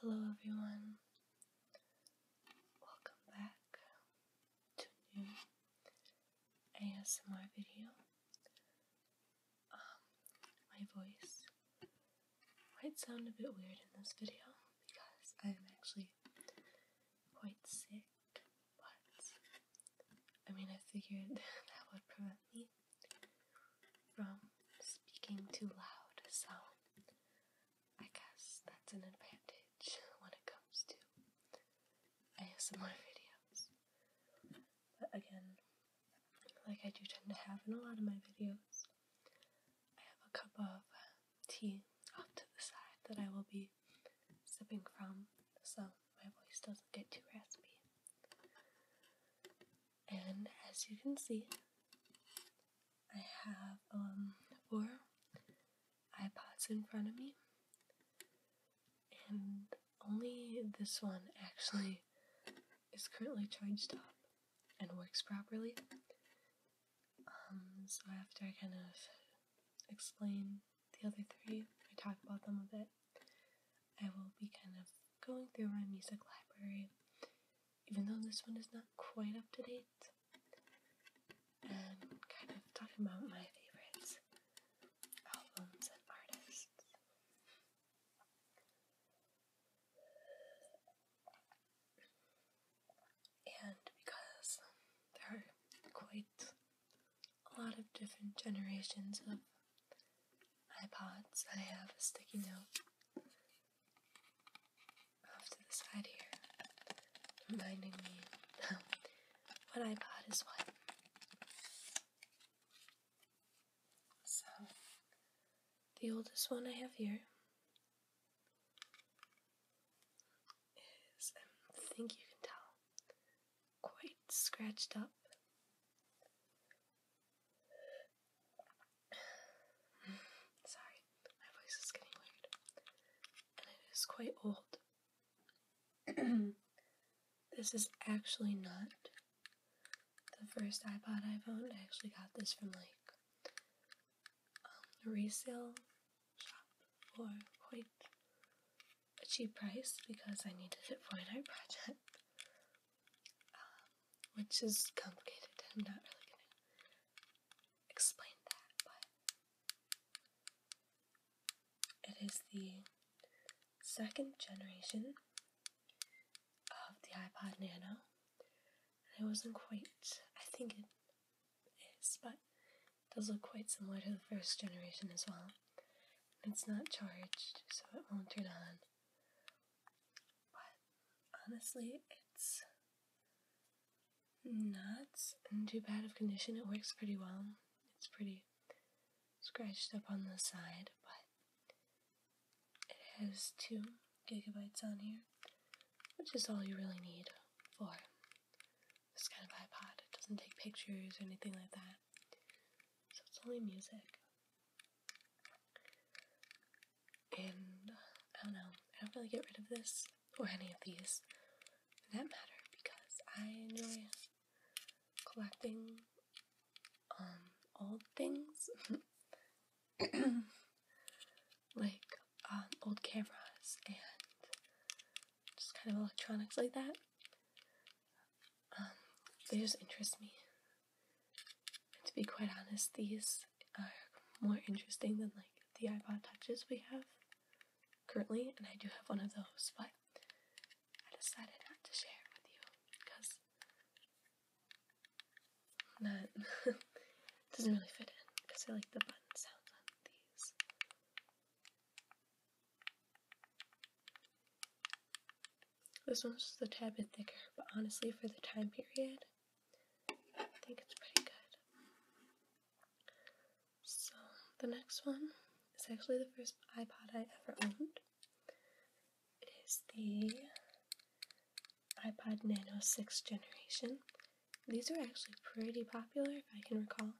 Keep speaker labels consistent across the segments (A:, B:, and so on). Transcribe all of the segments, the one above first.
A: Hello everyone, welcome back to new ASMR video. Um, my voice might sound a bit weird in this video because I'm actually quite sick, but I mean I figured that would prevent me from speaking too loud, so I guess that's an advantage when it comes to ASMR videos. But again, like I do tend to have in a lot of my videos, I have a cup of tea off to the side that I will be sipping from so my voice doesn't get too raspy and as you can see, I have um, four iPods in front of me, and only this one actually is currently charged up and works properly. Um, so after I kind of explain the other three, I talk about them a bit. I will be kind of going through my music library, even though this one is not quite up to date, and kind of talking about my favorites, albums, and artists. And because they are quite a lot of different generations of iPods. I have a sticky note off to the side here reminding me what iPod is what. So, the oldest one I have here is, I um, think you can tell, quite scratched up. Sorry, my voice is getting weird. it is quite old. this is actually not the first iPod I've I actually got this from like um, a resale shop for quite a cheap price because I needed it for an art project, um, which is complicated. I'm not really gonna explain that, but it is the second generation of the iPod Nano. And it wasn't quite, I think it is, but does look quite similar to the first generation as well. It's not charged, so it won't turn on. But honestly, it's not in too bad of condition. It works pretty well. It's pretty scratched up on the side, but it has two gigabytes on here, which is all you really need for this kind of iPod. It doesn't take pictures or anything like that so it's only music. And I don't know, I don't really get rid of this or any of these for that matter because I enjoy collecting um, old things like um, old cameras and just kind of electronics like that. Um, they just interest me. to be quite honest, these are more interesting than like the iPod touches we have currently, and I do have one of those, but I decided not to share it with you because not doesn't really fit in because I like the button sounds on these. This one's a tad bit thicker, but honestly, for the time period, I think it's pretty good. So, the next one is actually the first iPod I ever owned. It is the iPod Nano 6th generation. These are actually pretty popular, if I can recall.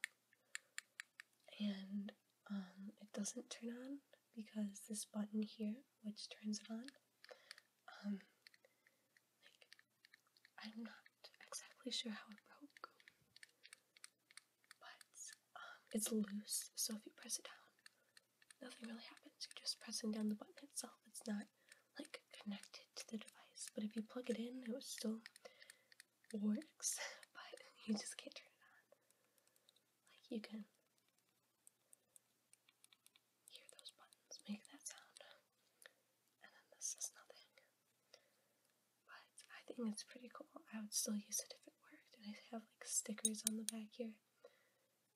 A: And um, it doesn't turn on because this button here, which turns it on, um, like, I'm not exactly sure how it broke, but um, it's loose, so if you press it down, nothing really happens. You're just pressing down the button itself. It's not like connected to the device, but if you plug it in, it was still works, but you just can't turn it on. Like you can hear those buttons make that sound, and then this is nothing. But I think it's pretty cool. I would still use it if it worked, I have like stickers on the back here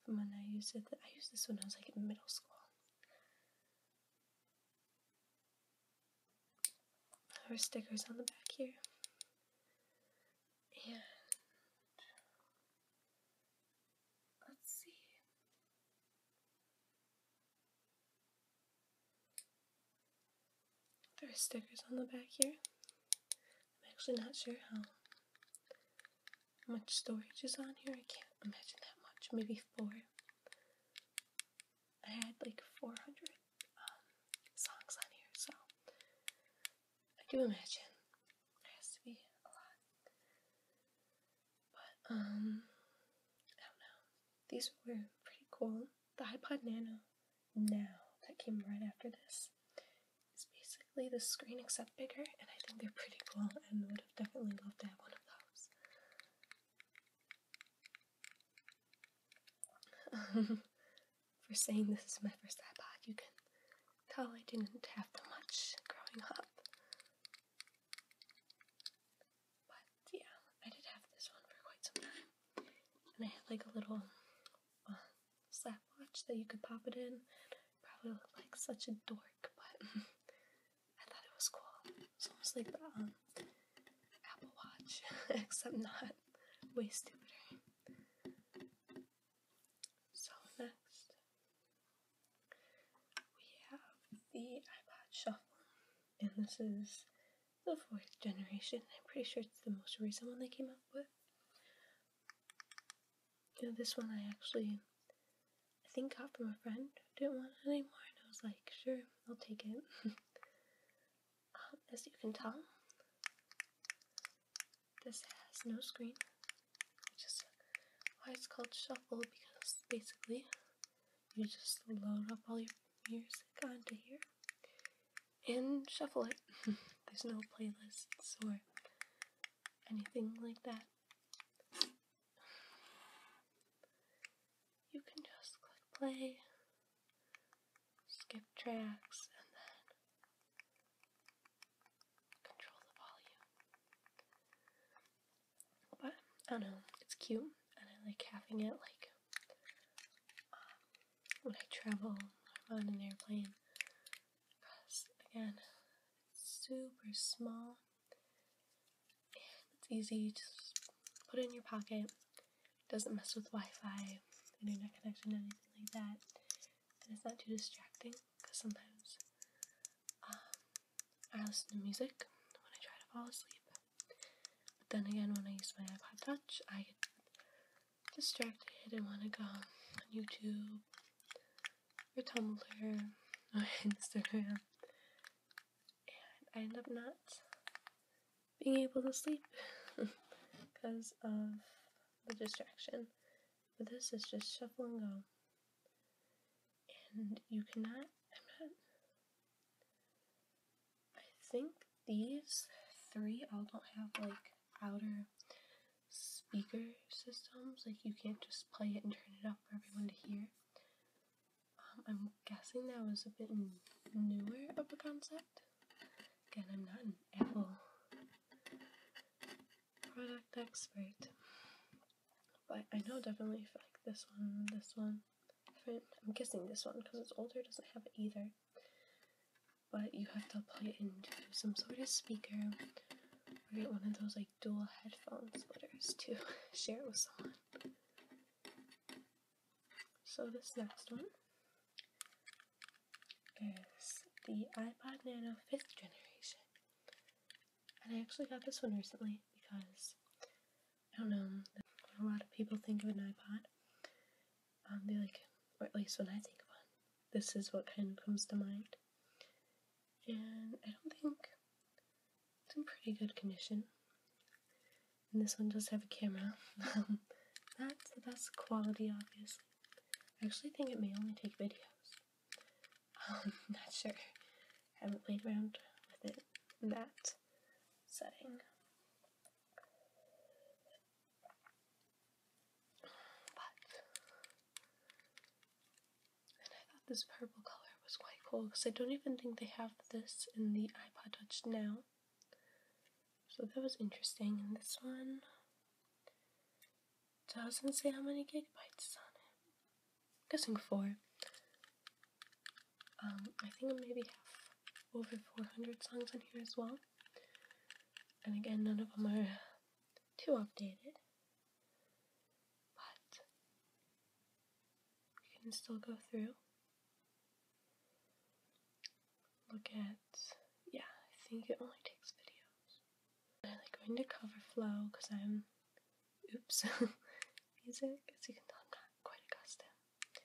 A: from when I used it. I used this when I was like in middle school our stickers on the back here. And let's see. There are stickers on the back here. I'm actually not sure how much storage is on here. I can't imagine that much. Maybe four. I had like 400 um, songs on here, so I do imagine there has to be a lot. But, um, I don't know. These were pretty cool. The iPod Nano now that came right after this is basically the screen except bigger, and I think they're pretty cool and would have definitely loved to have one of those. for saying this is my first iPod, you can tell I didn't have too much growing up. But yeah, I did have this one for quite some time. And I had like a little uh, slap watch that you could pop it in. Probably looked like such a dork, but I thought it was cool. It's almost like the um, Apple Watch, except not way stupider. So next, we have the iPod Shuffle, and this is the fourth generation. I'm pretty sure it's the most recent one they came up with. this one I actually, I think got from a friend didn't want it anymore, and I was like, sure, I'll take it. Um, as you can tell, this has no screen, which why it's called Shuffle because basically you just load up all your music onto here and shuffle it. There's no playlists or anything like that you can just click play, skip tracks, and then control the volume. But I don't know, it's cute, and I like having it like um, when I travel I'm on an airplane because again, super small it's easy, you just put it in your pocket. doesn't mess with Wi-Fi, internet connection, anything like that. And it's not too distracting because sometimes um, I listen to music when I try to fall asleep. But then again, when I use my iPod Touch, I get distracted and want to go on YouTube or Tumblr or Instagram and I end up not being able to sleep because of the distraction. But this is just shuffle and go. And you cannot, I think these three all don't have like outer speaker systems. Like you can't just play it and turn it up for everyone to hear. I'm guessing that was a bit newer of a concept. Again, I'm not an Apple product expert, but I know definitely like this one, this one. I'm guessing this one because it's older, doesn't have it either. But you have to plug it into some sort of speaker or get one of those like dual headphones splitters to share it with someone. So this next one is the iPod Nano 5th generation. And I actually got this one recently because I don't know, a lot of people think of an iPod, um, they like, or at least when I think of one, this is what kind of comes to mind and I don't think it's in pretty good condition. And this one does have a camera. Um, that's the best quality, obviously. I actually think it may only take videos. Um, not sure. haven't played around with it that setting. But and I thought this purple color was quite cool because I don't even think they have this in the iPod Touch now. So that was interesting. And this one doesn't say how many gigabytes is on it. I'm guessing four. Um, I think I maybe have over 400 songs in here as well. And again, none of them are too updated. But we can still go through. Look at, yeah, I think it only takes videos. I'm going to cover flow because I'm, oops, music, as you can tell, I'm not quite accustomed.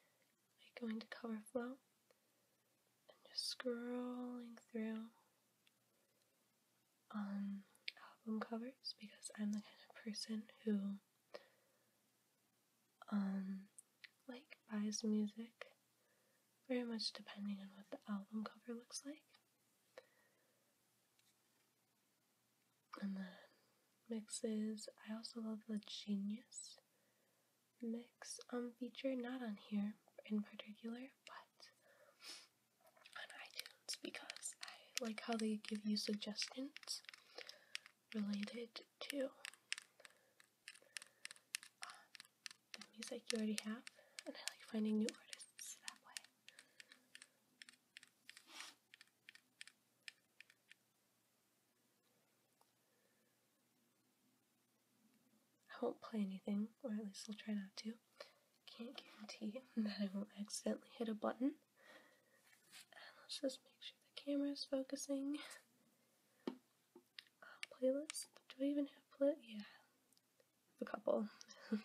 A: I'm going to cover flow and just scrolling through um, album covers because I'm the kind of person who um, like buys music very much depending on what the album cover looks like. And the mixes. I also love the Genius mix um feature, not on here in particular, but on iTunes because I like how they give you suggestions related to um, the music you already have, and I like finding new artists that way. I won't play anything, or at least I'll try not to. Can't guarantee that I won't accidentally hit a button. let's just make sure the camera is focusing. Uh, playlist? Do I even have playlist? Yeah, a couple.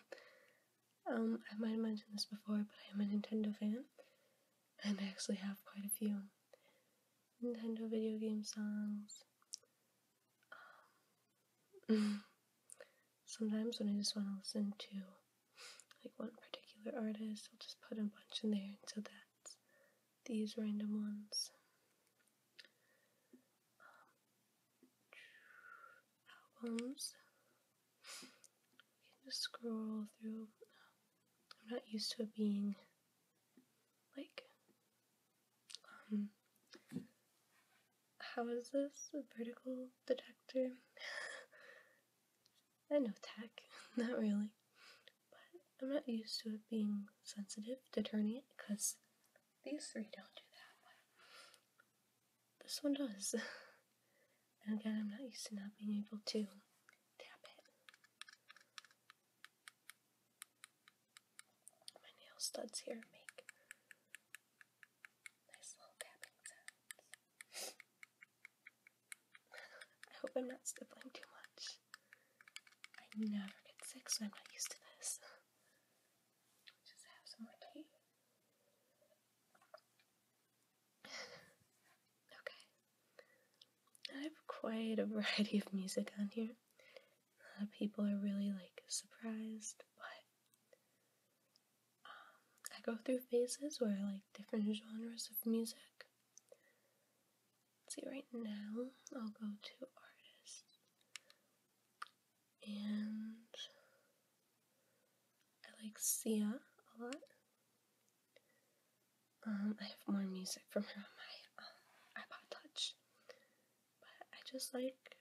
A: um, I might have mentioned this before, but I am a Nintendo fan, and I actually have quite a few Nintendo video game songs. Um, Sometimes when I just want to listen to like one particular artist, I'll just put a bunch in there, and so that's these random ones. Um, albums. just scroll through. Um, I'm not used to it being like um, how is this a vertical detector? I know tech, not really, but I'm not used to it being sensitive to turning it because these three don't do that. this one does, and again, I'm not used to not being able to tap it. My nail studs here make Nice little tapping sounds. I hope I'm not stippling too much. I never get sick, so I'm not used to this. Just have some more tea. okay. I have quite a variety of music on here. A lot of people are really like surprised, but um, I go through phases where I like different genres of music. see, right now I'll go to artists. And I like Sia a lot. Um, I have more music from her on my um, iPod Touch. But I just like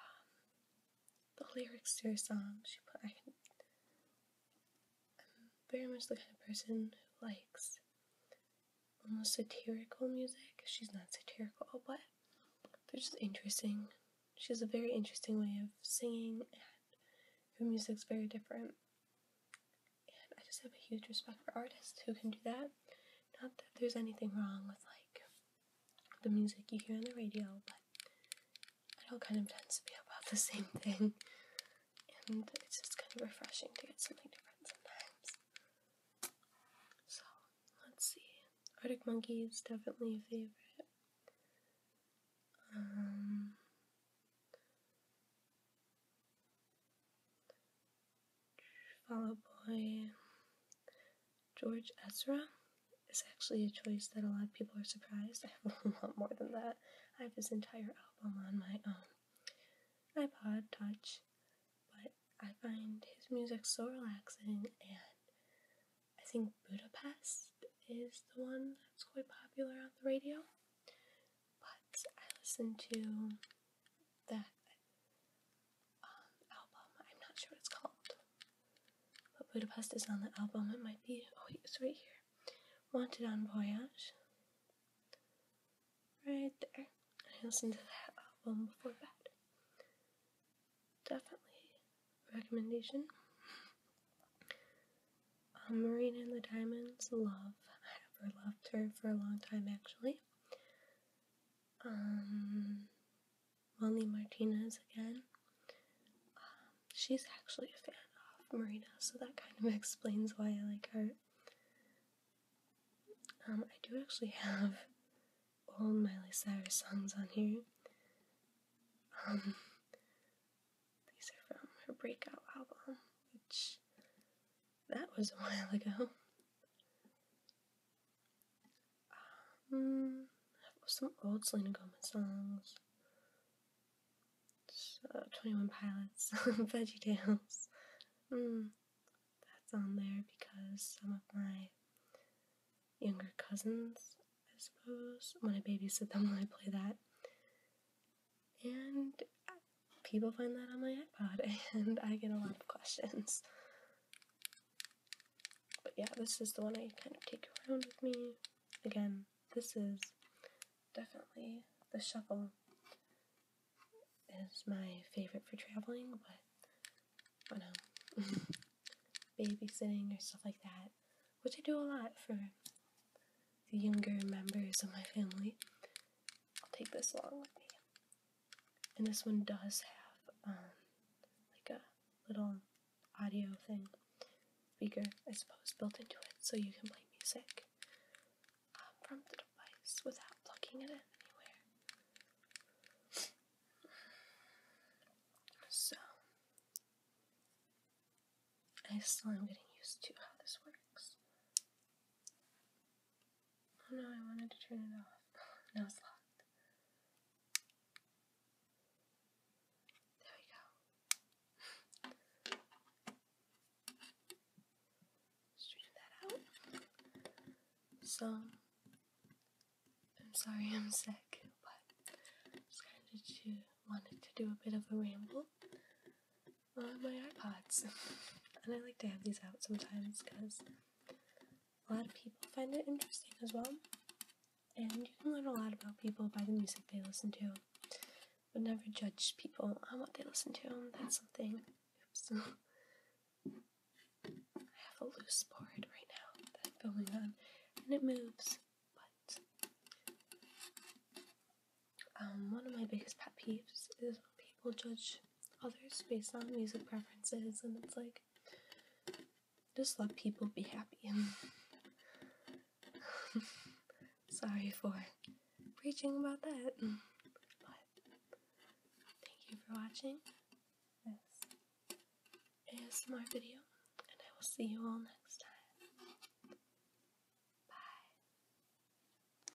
A: um, the lyrics to her song. She put I I'm very much the kind of person who likes almost satirical music. She's not satirical, but they're just interesting. She has a very interesting way of singing, and her music's very different. And I just have a huge respect for artists who can do that. Not that there's anything wrong with like the music you hear on the radio, but it all kind of tends to be about the same thing. And it's just kind of refreshing to get something different sometimes. So, let's see. Arctic Monkeys, definitely a favorite. Um, Follow Boy, George Ezra is actually a choice that a lot of people are surprised. I have a lot more than that. I have his entire album on my own um, iPod Touch, but I find his music so relaxing, and I think Budapest is the one that's quite popular on the radio. But I listen to that um, album. I'm not sure what it's called. But Budapest is on the album. It might be, oh, it's right here. Wanted on Voyage. Right there. I listened to that album before bed. Definitely recommendation. Um, Marina and the Diamonds, love. I ever loved her for a long time, actually um, Molly Martinez again. Um, she's actually a fan of Marina, so that kind of explains why I like her. Um, I do actually have all Miley Cyrus songs on here. Um, these are from her breakout album, which that was a while ago. Um, some old Selena Gomez songs. 21 Pilots, Veggie Tales. Mm, that's on there because some of my younger cousins, I suppose, when I babysit them, when I play that. And people find that on my iPod and I get a lot of questions. But yeah, this is the one I kind of take around with me. Again, this is definitely the shuffle. is my favorite for traveling, but I know. Babysitting or stuff like that, which I do a lot for the younger members of my family. I'll take this along with me and this one does have um, like a little audio thing, speaker, I suppose, built into it, so you can play music um, from the device without plugging it anywhere. So, I still am getting used to how this works. Oh no, I wanted to turn it off. now it's locked. There we go. Straighten that out. So, I'm sorry I'm sick, but I just kind of wanted to do a bit of a ramble on my iPods. and I like to have these out sometimes because a lot of people find it interesting as well. And you can learn a lot about people by the music they listen to. But never judge people on what they listen to. That's something. I have a loose board right now that's going on, and it moves. But um, one of my biggest pet peeves is when people judge others based on music preferences, and it's like just let people be happy. And sorry for preaching about that, but thank you for watching this ASMR video, and I will see you all next time. Bye.